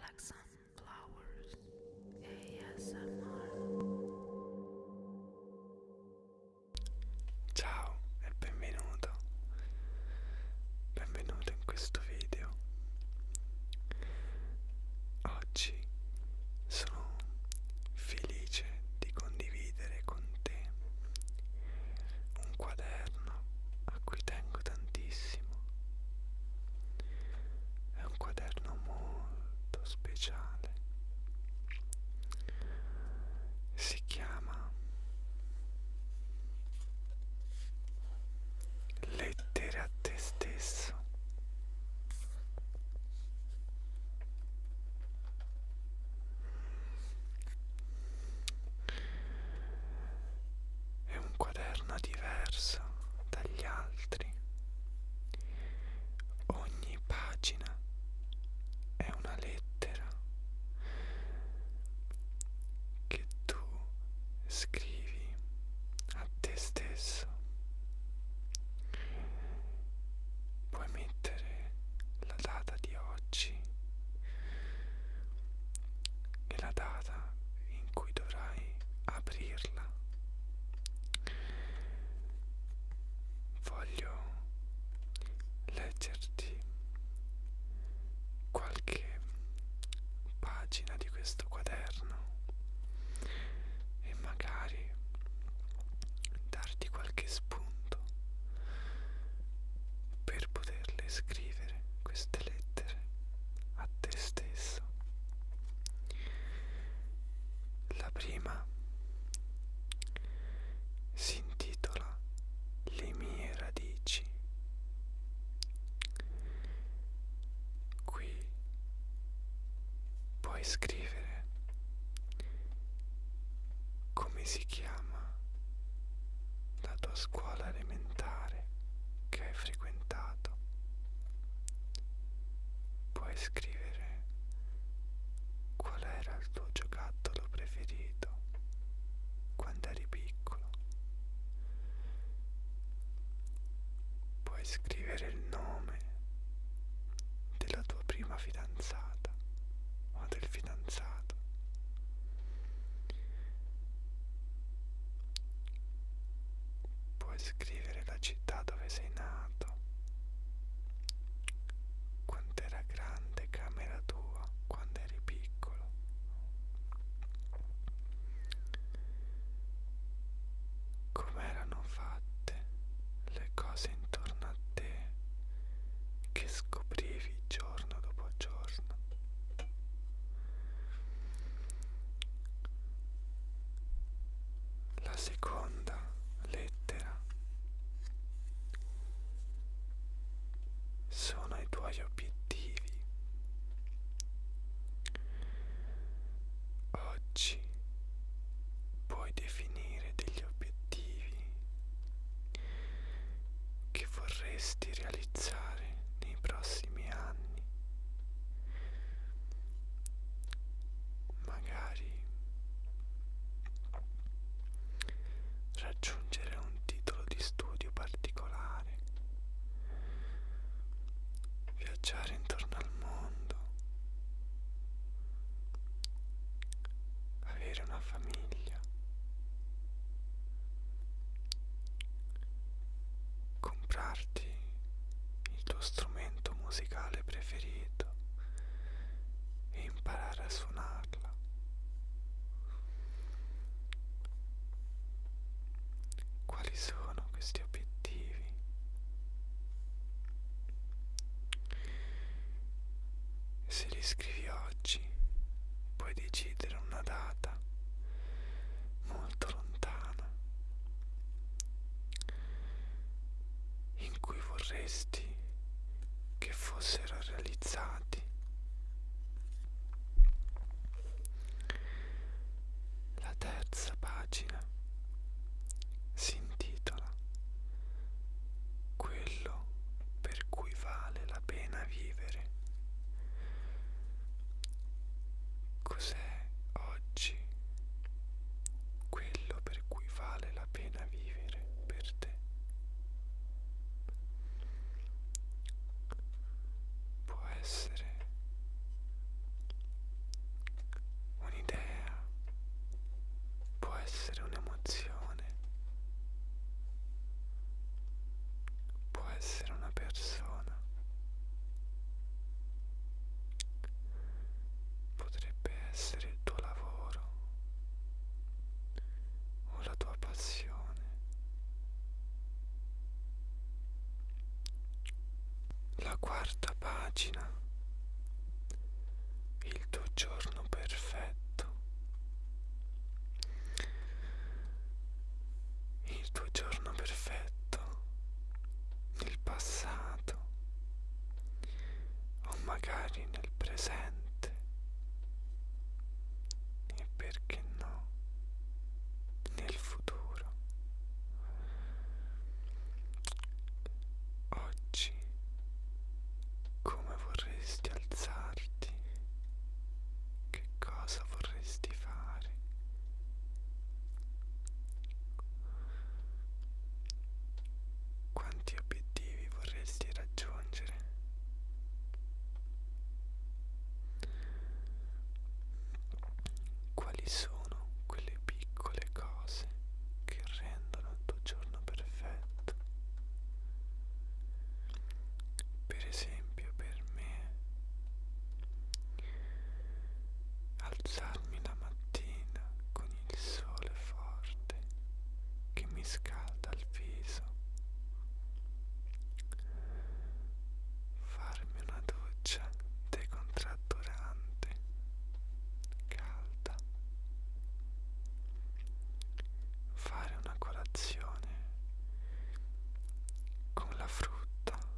Like Sunflowers ASMR Ciao e benvenuto Benvenuto in questo video Oggi sono felice di condividere con te un quaderno a cui tengo tantissimo. È un quaderno molto speciale. Si chiama Lettere a te stesso. È un quaderno diverso dagli altri. Ogni pagina è una lettera che tu scrivi a te stesso. Puoi mettere la data di oggi e la data in cui dovrai aprirla. Voglio leggerti qualche pagina di questo quaderno e magari darti qualche spunto per poterle scrivere queste lettere a te stesso. La prima si intitola Le mie radici. Qui puoi scrivere come si chiama la tua scuola elementare che hai frequentato. Puoi scrivere qual era il tuo giocattolo preferito quando eri piccolo. Puoi scrivere il nome della tua prima fidanzata o del fidanzato. Puoi scrivere la città dove sei nato. Quanto era grande camera tua quando eri piccolo. Com'erano fatte le cose intorno a te che scoprivi giorno dopo giorno. La seconda lettera sono i tuoi obiettivi. Oggi puoi definire degli obiettivi che vorresti realizzare nei prossimi anni magari raggiungere un titolo di studio particolare, viaggiare intorno al mondo, avere una famiglia comprarti il tuo strumento musicale preferito e imparare a suonarla. Quali sono questi obiettivi? Se li scrivi oggi puoi decidere una data molto lontana, in cui vorresti che fossero realizzati la terza pagina si intitola quello per cui vale la pena vivere Cos'è oggi quello per cui vale la pena vivere per te? Può essere un'idea, può essere un'emozione, può essere una persona potrebbe essere il tuo lavoro o la tua passione la quarta pagina il tuo giorno perfetto il tuo giorno perfetto, nel passato o magari nel presente e perché no nel futuro. Oggi come vorresti alzarti che cosa vorresti fare? Quanti obiettivi vorresti raggiungere? Quali sono quelle piccole cose che rendono il tuo giorno perfetto? Per esempio, esempio per me alzarmi la mattina con il sole forte che mi scalda il viso farmi una doccia decontratturante calda fare una colazione con la frutta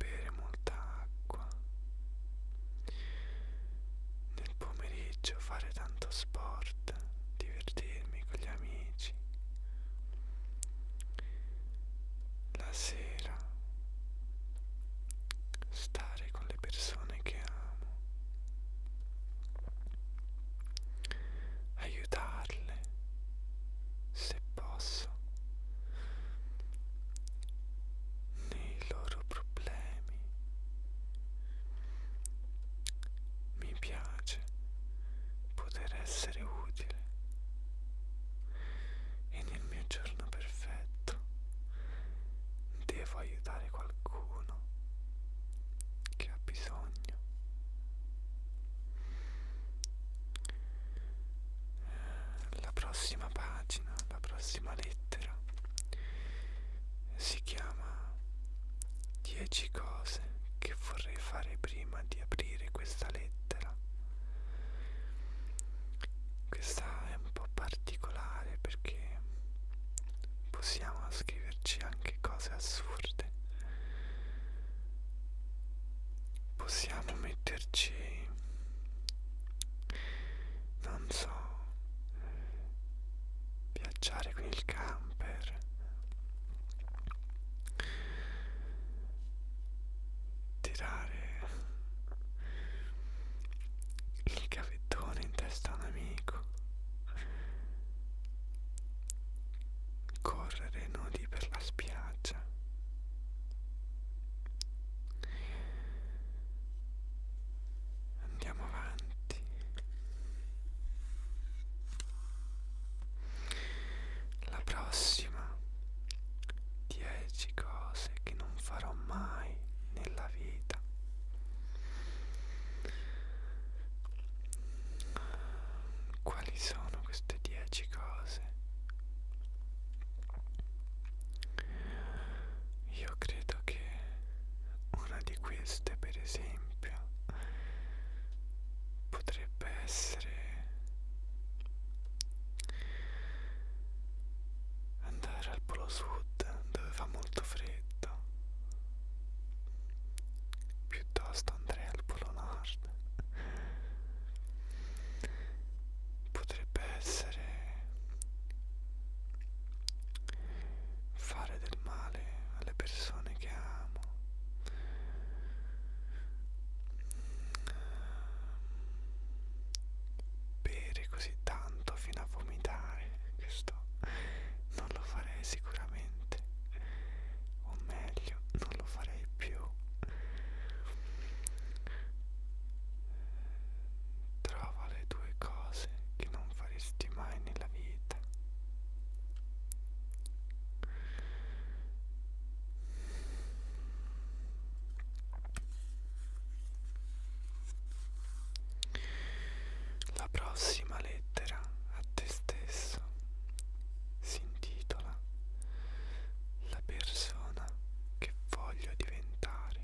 bere molta acqua, nel pomeriggio fare tanto sport, divertirmi con gli amici, la sera stare con le persone che amo, aiutarle se posso, nei loro problemi. Mi piace poter essere utile e nel mio giorno perfetto devo aiutare qualcuno che ha bisogno la prossima pagina, la prossima lettera si chiama 10 cose che vorrei fare prima di aprire questa lettera. Questa è un po' particolare perché possiamo scriverci anche cose assurde possiamo metterci non so viaggiare con il camper tirare il gavettone in testa a un amico correre nudi per la spiaggia. Andiamo avanti. La prossima 10 cose che non farò mai nella vita quali sono queste 10 cose? Io credo che una di queste, per esempio, potrebbe essere andare al Polo Sud dove fa molto freddo piuttosto andrei al Polo Nord merda potrebbe essere fare del male alle persone che amo bere così tanto fino a vomitare questo non lo farei sicuramente o meglio non lo farei più Trova le due cose che non faresti mai nella vita. La prossima lettera a te stesso si intitola La persona che voglio diventare.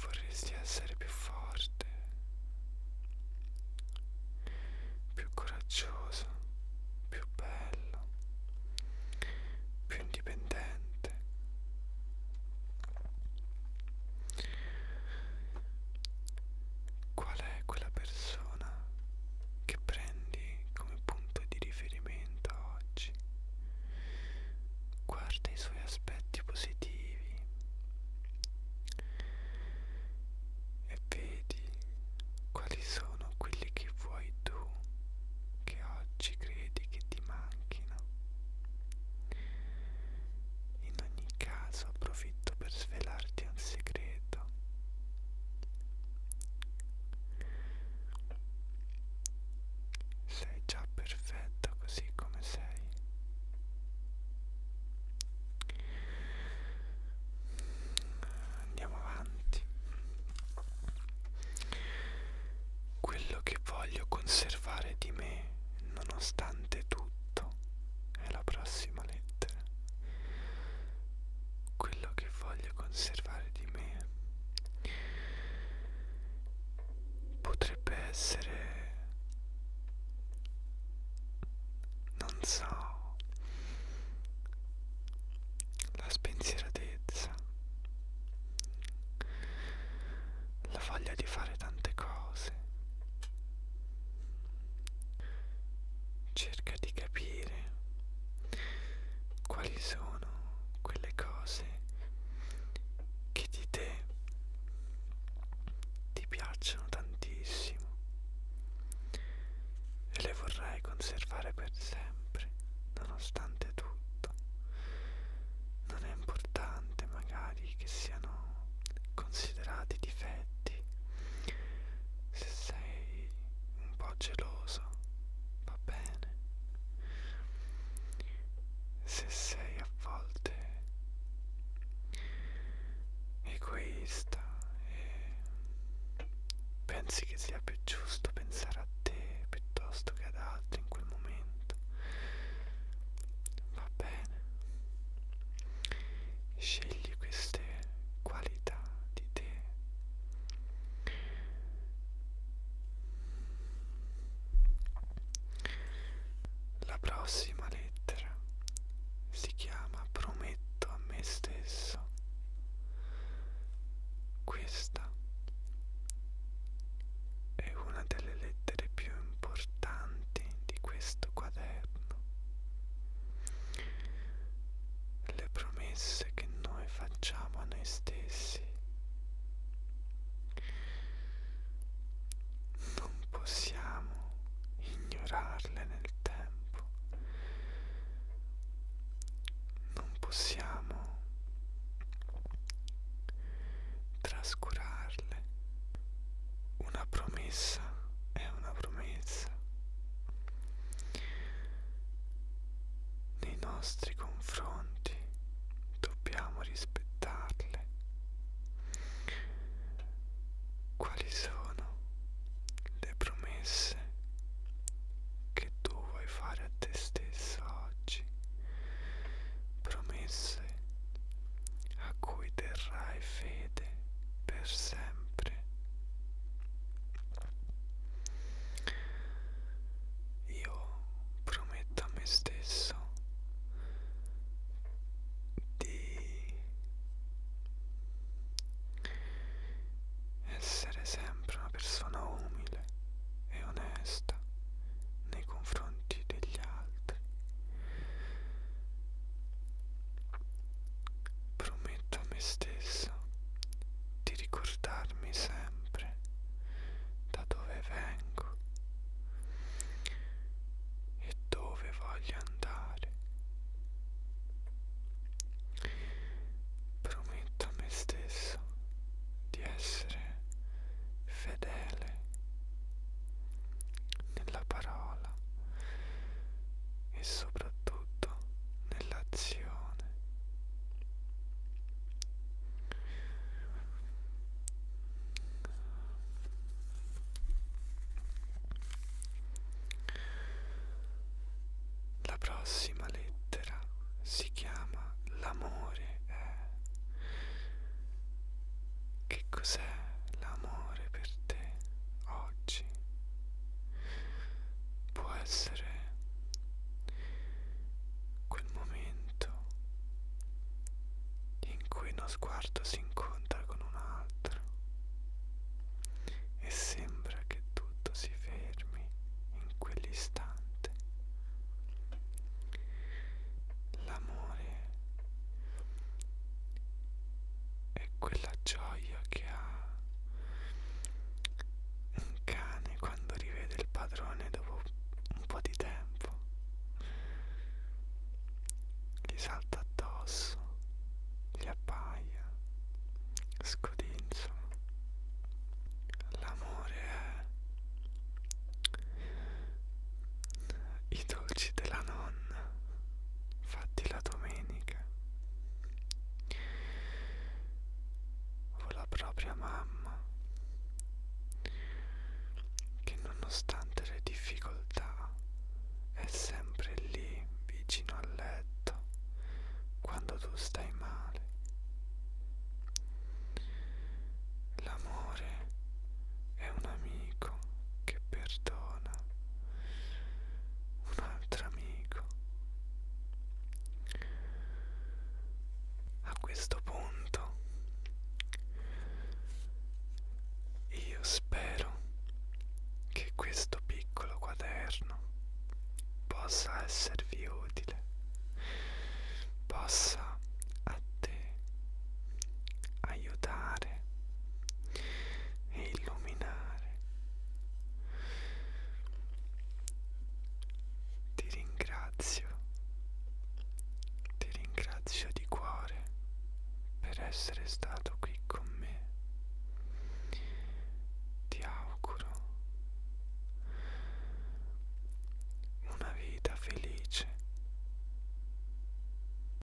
Vorresti essere più forte, più coraggioso, più bello, più indipendente. Qual è quella persona che prendi come punto di riferimento oggi? Guarda i suoi aspetti positivi e vedi quali sono quelli che vuoi tu che oggi credi che ti manchino in ogni caso approfitto per svelarti un segreto. Sei già perfetta così come sei. Andiamo avanti. Quello che voglio conservare di me, nonostante tutto, questo è la prossima lettera. Quello che voglio conservare di me potrebbe essere, non so, la spensieratezza, la voglia di fare tante cose cerca di capire quali sono quelle cose che di te ti piacciono tantissimo e le vorrai conservare per sempre nonostante tutto non è importante magari magari che siano considerati difetti se sei un po' geloso va bene se sei a volte egoista e pensi che sia più giusto pensare a te piuttosto che ad altri in quel momento va bene Scegli queste qualità di te. La prossima lettera si chiama Prometto a me stesso. Questa è una delle lettere più importanti di questo quaderno eterno. Le promesse che noi facciamo a noi stessi non possiamo ignorarle nel tempo, non possiamo trascurarle stelle. Una promessa è una promessa. Nei nostri confronti dobbiamo rispettarle. Quali sono le promesse che tu vuoi fare a te stesso oggi? Promesse cose a cui terrai fede per sempre. Io prometto a me stesso di essere sempre una persona umile e onesta nei confronti degli altri Prometto a me stessa di ricordarmi sempre da dove vengo e dove voglio andare. Prometto a me stesso di essere fedele nella parola e soprattutto nell'azione. La prossima lettera si chiama l'amore. Eh. Che cos'è l'amore? amore per te oggi può essere quel momento in cui uno sguardo si incontra con un altro e sembra che tutto si fermi in quell'istante l'amore è quella gioia che ha un cane quando rivede il padrone dopo un po' di tempo gli salta addosso gli appaia scodinzola l'amore è i dolci della nonna fatti la domenica o la propria mamma che nonostante le difficoltà è sempre lì vicino al letto quando tu stai male l'amore è un amico che perdona persona, un altro amico. A questo punto io spero che questo piccolo quaderno possa esservi utile, possa a te aiutare te e illuminare. Ti ringrazio, ti ringrazio di cuore per essere stato qui con me. Ti auguro una vita felice.